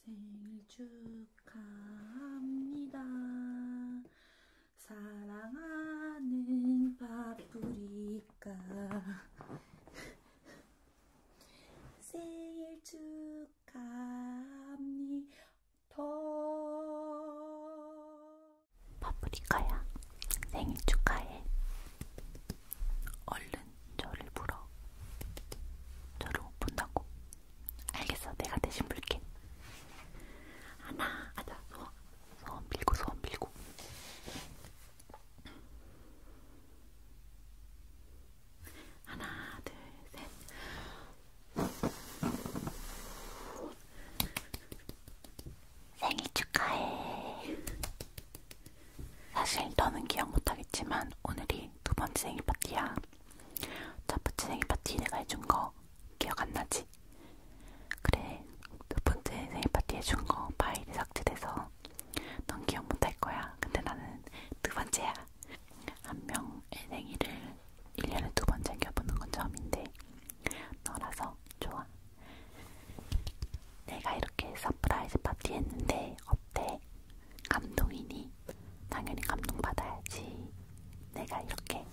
생일 축하합니다. 생일 축하합니다. 사랑하는 파프리카. 생일 축하합니다. 파프리카야, 생일 축하해. 얼른 저를 불어. 저를 못 본다고. 알겠어, 내가 대신 불게. 하나, 하자, 소원, 소원 빌고, 소원 빌고. 하나, 둘, 셋. 생일 축하해. 사실 너는 기억 못하겠지만 오늘이 두 번째 생일 파티야. 첫 번째 생일 파티 내가 해준 거 기억 안 나지? 그래, 두 번째 생일 파티 해준 거 파일이 삭제돼서 넌 기억 못할 거야. 근데 나는 두 번째야. 한 명의 생일을 1년에 두번 챙겨보는 건 처음인데 너라서 좋아. 내가 이렇게 서프라이즈 파티 했는데 어때? 감동이니? 당연히 감동받아야지. 내가 이렇게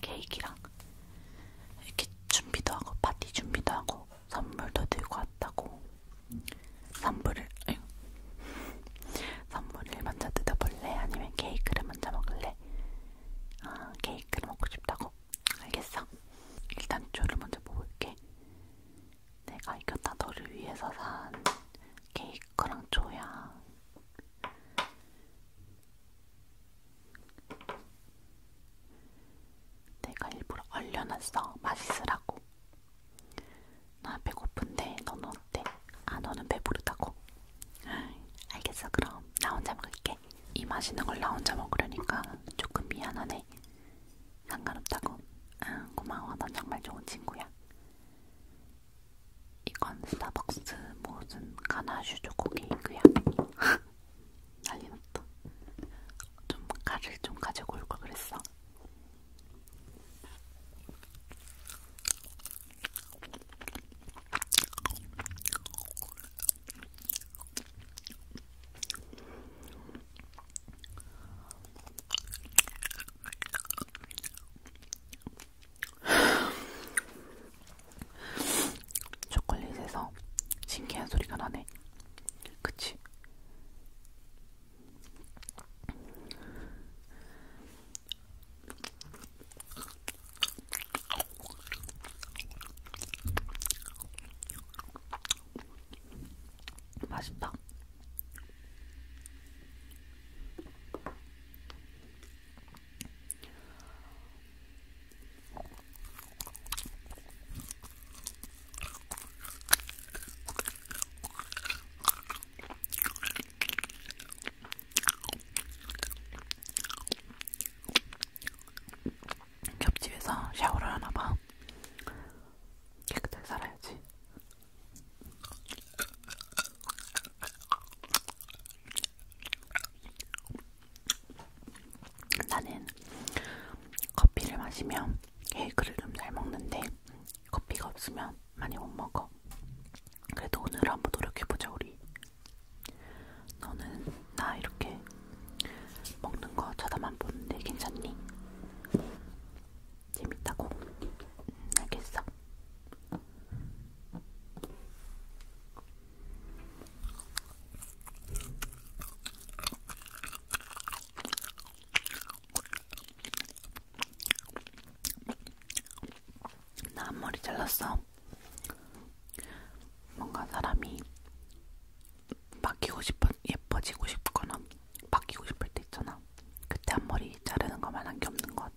케이크랑 이렇게 준비도 하고 파티 준비도 하고 선물도 들고 왔다고. 선물을 에휴. 선물을 먼저 뜯어볼래? 아니면 케이크를 먼저 먹을래? 아, 케이크를 먹고 싶다고? 알겠어? 일단 조를 먼저 먹을게. 내가 이겼다 너를 위해서 산 케이크랑 조야. 내가 일부러 얼려놨어. 맛있으라고. 나 배고픈데 너는 어때? 아 너는 배부르다고? 알겠어 그럼 나 혼자 먹을게. 근데 이 맛있는 걸 나 혼자 먹으려니까 조금 미안하네. 상관없다고. 응, 고마워. 넌 정말 좋은 친구야. 이건 스타벅스 무슨 가나슈 초코케이크야. 난리났다. 좀 가를 좀 가지고 올걸 그랬어. 초콜릿에서 신기한 소리가 나네. 그치? 맛있다. 옆집에서 샤워를 하나봐. 깨끗하게 살아야지. 나는 커피를 마시면 케이크를 좀 잘 먹는데 커피가 없으면 많이 못 먹어. 그래도 오늘 한번 노력해보자 우리. 너는 나 이렇게 먹는 거 쳐다만 보는데 네, 괜찮니? 재밌다고? 음, 알겠어. 나 앞머리 잘랐어. 뭔가 사람이 바뀌고 싶어 예뻐지고 싶거나 바뀌고 싶을 때 있잖아. 그때 앞머리 자르는 것만 한 게 없는 것 같아.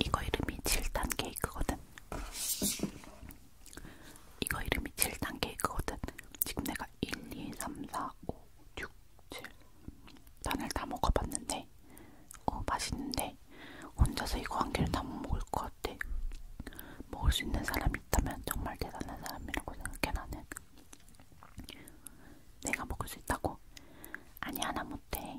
이거 이름이 7단 케이크거든. 이거 이름이 7단 케이크거든. 지금 내가 1, 2, 3, 4, 5, 6, 7 단을 다 먹어봤는데 어 맛있는데 혼자서 이거 한 개를 다 못 먹을 것 같아. 먹을 수 있는 사람이 있다면 정말 대단한 사람이라고 생각해 나는 내가 먹을 수 있다고? 아니 하나 못해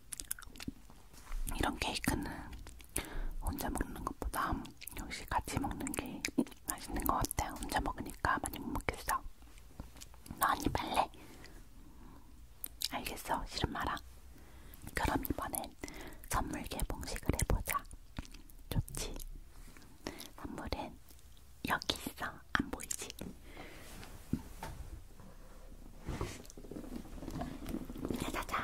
이런 케이크는 혼자 먹는 것보다 역시 같이 먹는 게 맛있는 것 같아. 혼자 먹으니까 많이 못 먹겠어. 너 언니 빨래? 알겠어. 싫은 말아. 그럼 이번엔 선물 개봉식을 해보자. 좋지? 선물은 여기 있어. 안 보이지? 짜자잔.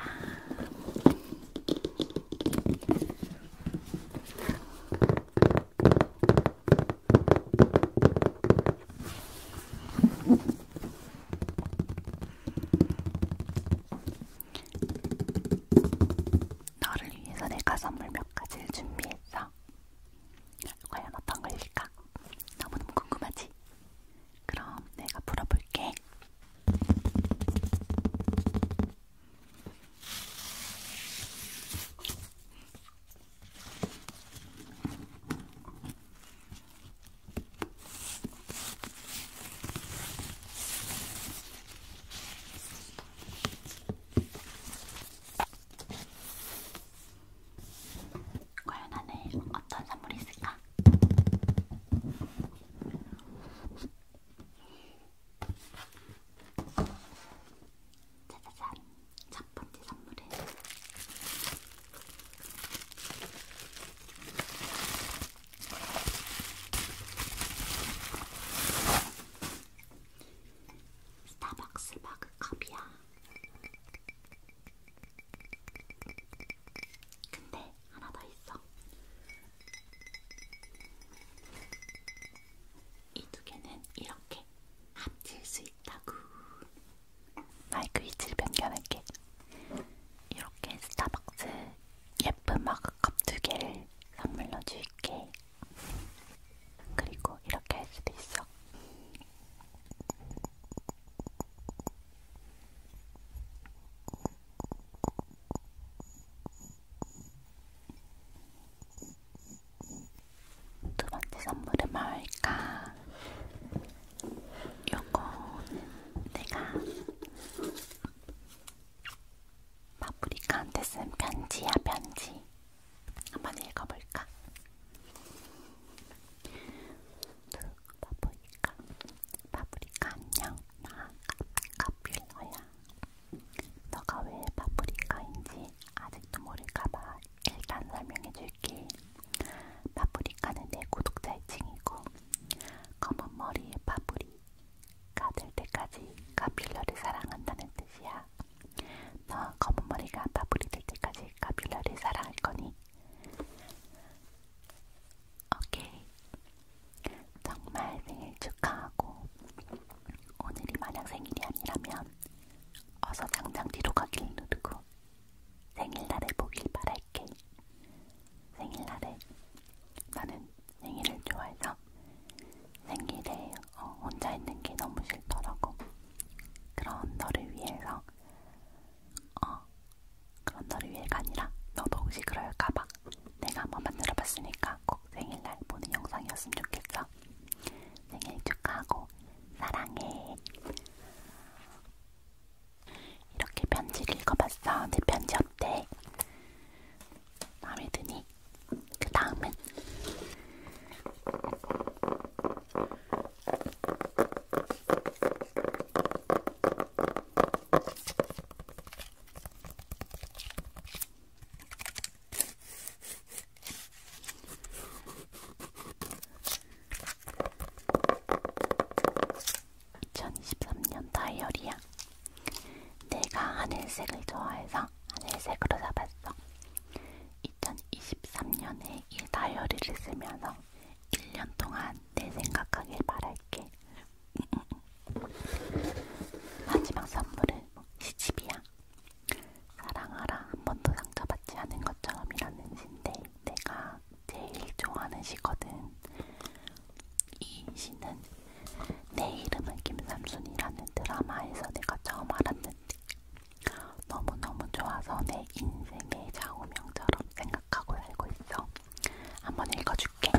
너를 위해서 내가 선물 몇 가지를 준비했어. 과연 어떤 걸일까? 너무너무 궁금하지? 그럼 내가 풀어볼게. 과연 안에 어떤 선물이 있을까? 짜자잔! 첫 번째 선물은 스타벅스 머그컵이야. 근데 하나 더 있어. 이 두 개는 이렇게 합칠 수 있다고. 마이크 그 위치를 변경할게. 이렇게 스타벅스 예쁜 마그컵 두 개를 선물로 줄게. 그리고 이렇게 할 수도 있어. 두 번째 선물은 뭘까? 요거는 내가 파프리카한테 쓴 편지야 편지 한번 읽어볼까? 그러다 보니까 파프리카 안녕 나 카필러야 너가 왜 파프리카인지 아직도 모를까봐 일단 설명해줄게 파프리카는 내 구독자층이고 검은 머리의 파프리카 될 때까지 카필러를 사랑한다는 뜻이야 너 검은 머리가 파프리 될 때까지 카필러를 사랑할 거니 오케이. 정말 생일 축하하고 오늘이 만약 생일이 아니라면 어서 당장 뒤로 가길 누르고 생일날에 보길 바랄게. 생일날에 나는 생일을 좋아해서 생일에 어, 혼자 있는 게 너무 싫더라고. 그런 너를 위해서 어, 그런 너를 위해가 아니라 너도 혹시 그럴까봐 내가 한번 만들어봤으니까 꼭 생일날 보는 영상이었으면 좋겠어. 생일 축하하고 사랑해. 이렇게 편지를 읽어봤어. 내 편지 어때? 마음에 드니? 그 다음은 2023년 다이어리야. 내가 하늘색을 좋아해서 하늘색으로 잡았어. 2023년에 이 다이어리를 쓰면서 1년 동안 내 생각하길 바랄게. 마지막 선물은 뭐 시집이야. 사랑하라 한 번도 상처받지 않은 것처럼이라는 시인데 내가 제일 좋아하는 시거든. 이 시는 내 이름은 김삼순이라는 드라마에서 내가 처음 알았는데 너무너무 좋아서 내 인생의 좌우명처럼 생각하고 살고 있어. 한번 읽어줄게.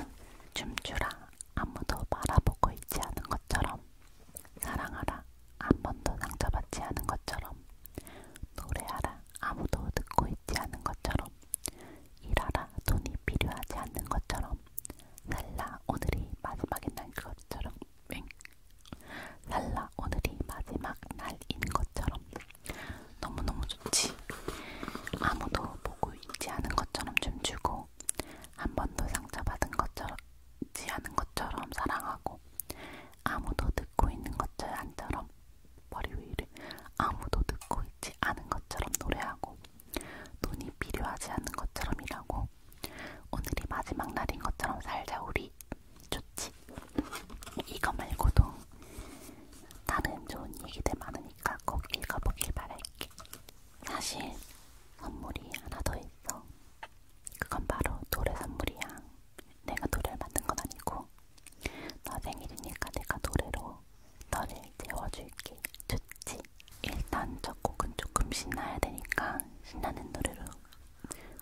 춤추라. 아무도 바라보고 있지 않은 것처럼. 사랑하라. 한 번도 상처받지 않은 것처럼. 노래하라. 아무도 듣고 있지 않은 것처럼. 일하라. 돈이 필요하지 않는 것처럼. 살라. 오늘이 마지막인 날 그것처럼. 윙. 랄라 오늘이 마지막 날인 것처럼 너무너무 좋지. 아무도 보고 있지 않은 것처럼 춤추고 한 번도 상처받은 것처럼 지 않은 것처럼 사랑하고 아무도 듣고 있는 것처럼 머리 위를 아무도 듣고 있지 않은 것처럼 노래하고 돈이 필요하지 않은 것처럼 일하고 오늘이 마지막 날인 것처럼 살자 우리 좋지. 이거 말고도 다른 좋은 얘기들 많으니까 꼭 읽어보길 바랄게. 사실 선물이 하나 더 있어. 그건 바로 노래 선물이야. 내가 노래를 만든 건 아니고 너 생일이니까 내가 노래로 너를 재워줄게. 좋지? 일단 첫 곡은 조금 신나야 되니까 신나는 노래로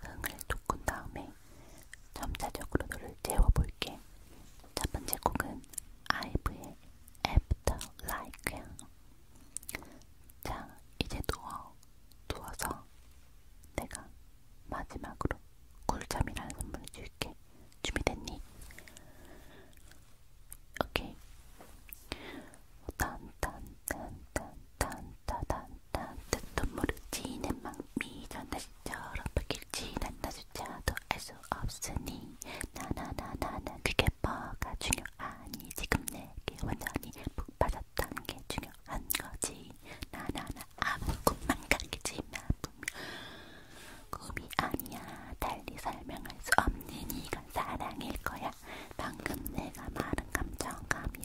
흥을 돋군 다음에 점차적으로 너를 재워볼게. 첫 번째 곡은 아이브의 After Like야. 자, 이제 누워. 누워서 내가 마지막으로 꿀잠이라는 선물을 줄게. 준비됐니? 오케이. 딴딴딴딴딴딴 따뜻한 물을 지는 막미 전날처럼 바뀔지 난 나조차도 알 수 없으니 나나나나나 그게 뭐가 중요하니 지금 내게 완전히 푹 빠졌다는 게 중요한 거지 나나나 아무 꿈만 가겠지만 분명 꿈이 아니야 달리 설명할 수 없는 이건 사랑일 거야 방금 내가 말한 감정감이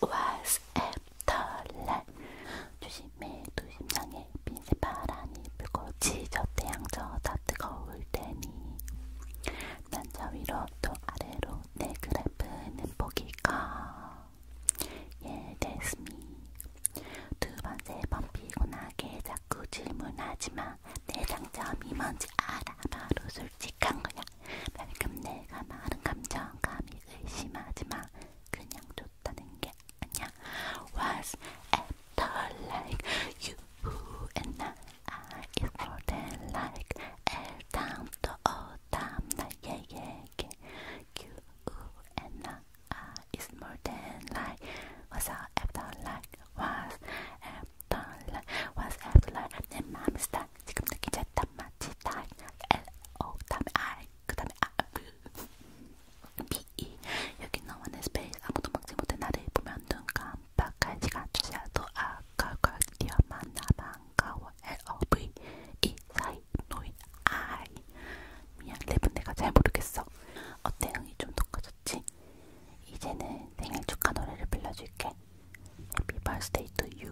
was 앱털날 조심해 도심장에 빈새 바람이 불고 지저대 양저 다 뜨거울 테니 난저 위로 또 아래로 내 그래프는 보기가 Yeah, that's me. 두 번, 세번 피곤하게 자꾸 질문하지 마. 내 장점이 뭔지 알아. 바로 솔직한 거야. 방금 내가 말은 감정, 감히 의심하지 마. 그냥 좋다는 게 아니야. Was after like you and I? I is for them like L 다음 또 O 어 다음 나의 얘기. You and I. 아, is more than like what's after like was after like was after like 내 마음이 스타 지금 느끼지 않단 마치 다 L O 다음에 I 그 다음에 I B 그 E 여기 너만의 스페이스 아무도 막지 못해 나를 보면 눈 깜빡하지가 않더라도 아까걸 뛰어 만나 반가워 L O V E 사이 노인 I 미안 랩은 네 내가 잘 모르겠어 어때 흥이 좀 높아졌지? 이제는 생일 축하 노래를 빌려줄게. Happy birthday to you.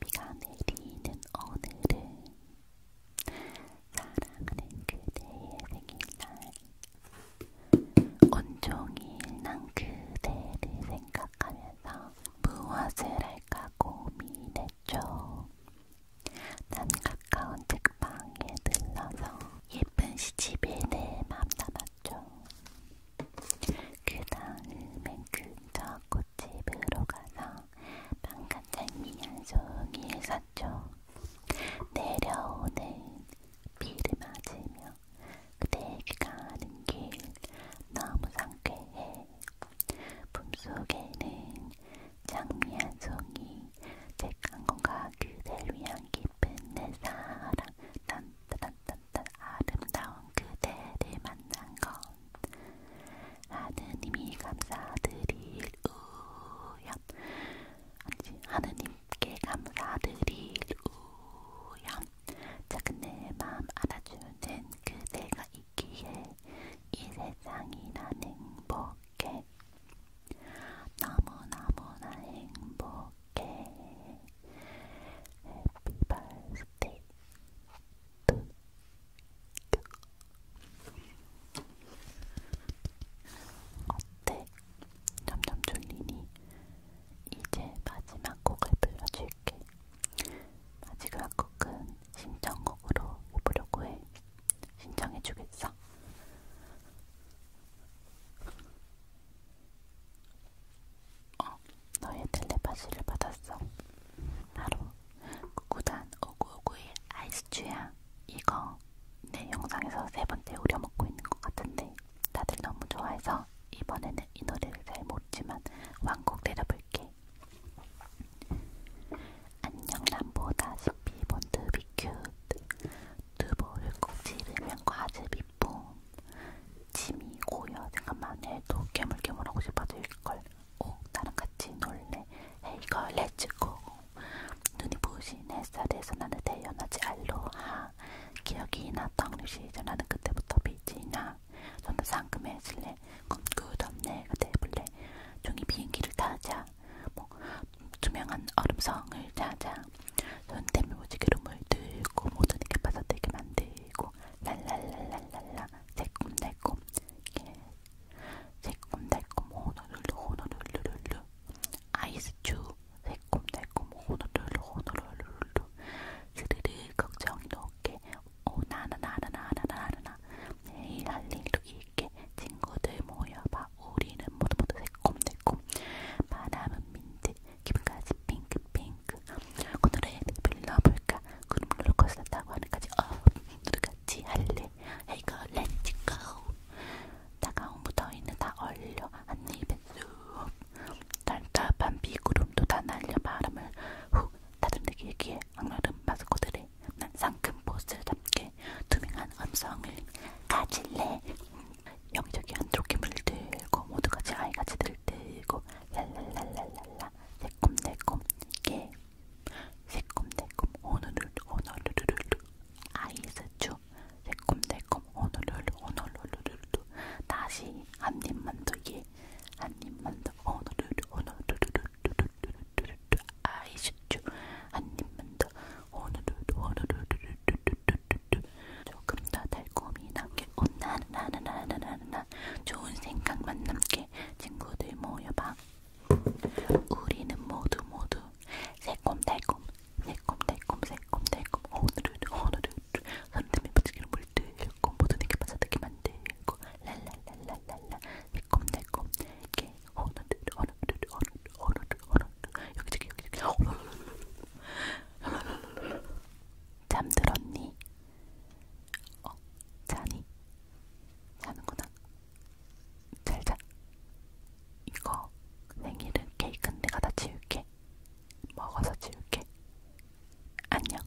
비가 내리는 오늘은 사랑하는 그대의 생일날 온종일 난 그대를 생각하면서 무엇을 할까 고민했죠. 난 가까운 책방에 들러서 예쁜 시집애를 맘담았죠. 그 다음엔 근처 꽃집으로 가서 방간장미 한 송이를 샀죠. 내려오는 비를 맞으며 그대에게 가는 길 너무 상쾌해. 품속에는 장미한 송이 책한 권과 그댈 위한 깊은 내 사랑 딴따딴딴딴 아름다운 그대를 만난 건 하느님이 감사드릴 우연 아니 하느님께 감사드릴 우연 작은 내 마음 알아주는 그대가 있기에 이 세상이란 행복해 너무너무나 행복해 해피 발스데이 어때? 점점 졸리니? 이제 마지막 곡을 불러줄게 마지막 곡은 신청곡으로 해보려고 해 신청해주겠어? 어, 너의 텔레파시를 받았어. 바로 구단 5951 아이스츄야. 이거 내 영상에서 세 번째 우려먹고 있는 것 같은데 다들 너무 좋아해서 이번에는 이 노래를 잘 모르지만 왕곡 내려볼게. 안녕 남보다시피 본드비큐트 두보를 꼭 찌르면 과즙이쁨 짐이 고여 생각만 해도 깨물깨물하고 싶어도 일걸 오 나랑 같이 놀래 헤이걸 렛츠고 눈이 부신 햇살에서 나는 태어나지 알로하 기억이 났던 시절 나는 그때부터 빛이나 너는 상금해질래 꿈꾸던 내가 돼볼래 종이 비행기를 타자 뭐 투명한 얼음성을 찾아 손때미 무지개로물 들고 모두에게 빠져들게 만들고 랄랄랄랄랄라 새콤달콤 예. 새콤달콤 호노룰루 호노룰루룰루 아이스추 새콤달콤 호노룰루 호노룰루룰루 스르르 걱정이 높게 오나나나나나나나나 내일 할 일도 있게 친구들 모여봐 우리는 모두 모두 새콤달콤 바람은 민트 기분까지 핑크핑크 오늘의 빌러볼까 그럼 롤러코스터 타고 하늘까지 어 누구같이 할래 이거 렛츠고 따가운 무더위는 다 얼려 하늘 뱃수 단답한 비구름도 다 날려 바람을 후 다듬는 길기에 악마른 마스코들의 때난 상큼 보스답게 투명한 음성을 가질래 여기저기 한쪽에 물들고 모두같이 아이같이 들들고 랄랄랄랄랄라 새콤달콤 예 새콤달콤 오늘을 오늘르르르 아이스추 새콤달콤 오늘을 오늘르르르 다시 한 입만 더예한 입만 더 오늘을 오늘르르르 뚜루뚜루뚜 아이슈쭈 한 입만 더 호누루루 호누루루루루루루루 조금 더 달콤히 남게 오나나나나나나나 어, 좋은 생각만 남게 친구들 모여봐 우리는 모두 모두 새콤달콤 새콤달콤 새콤달콤 호누루루 호누루루 손등에 붙이기로 물들고 모두 내게 빠져들게 만들고 랄랄랄랄랄라 새콤달콤 이렇게 어느들 어느들 어느들 어느들 어느들 여기저기 여기저기 랄랄랄랄랄 잠들었니? 어? 자니? 자는구나 잘자 이거 생일은 케이크는 내가 다 지울게 먹어서 지울게 안녕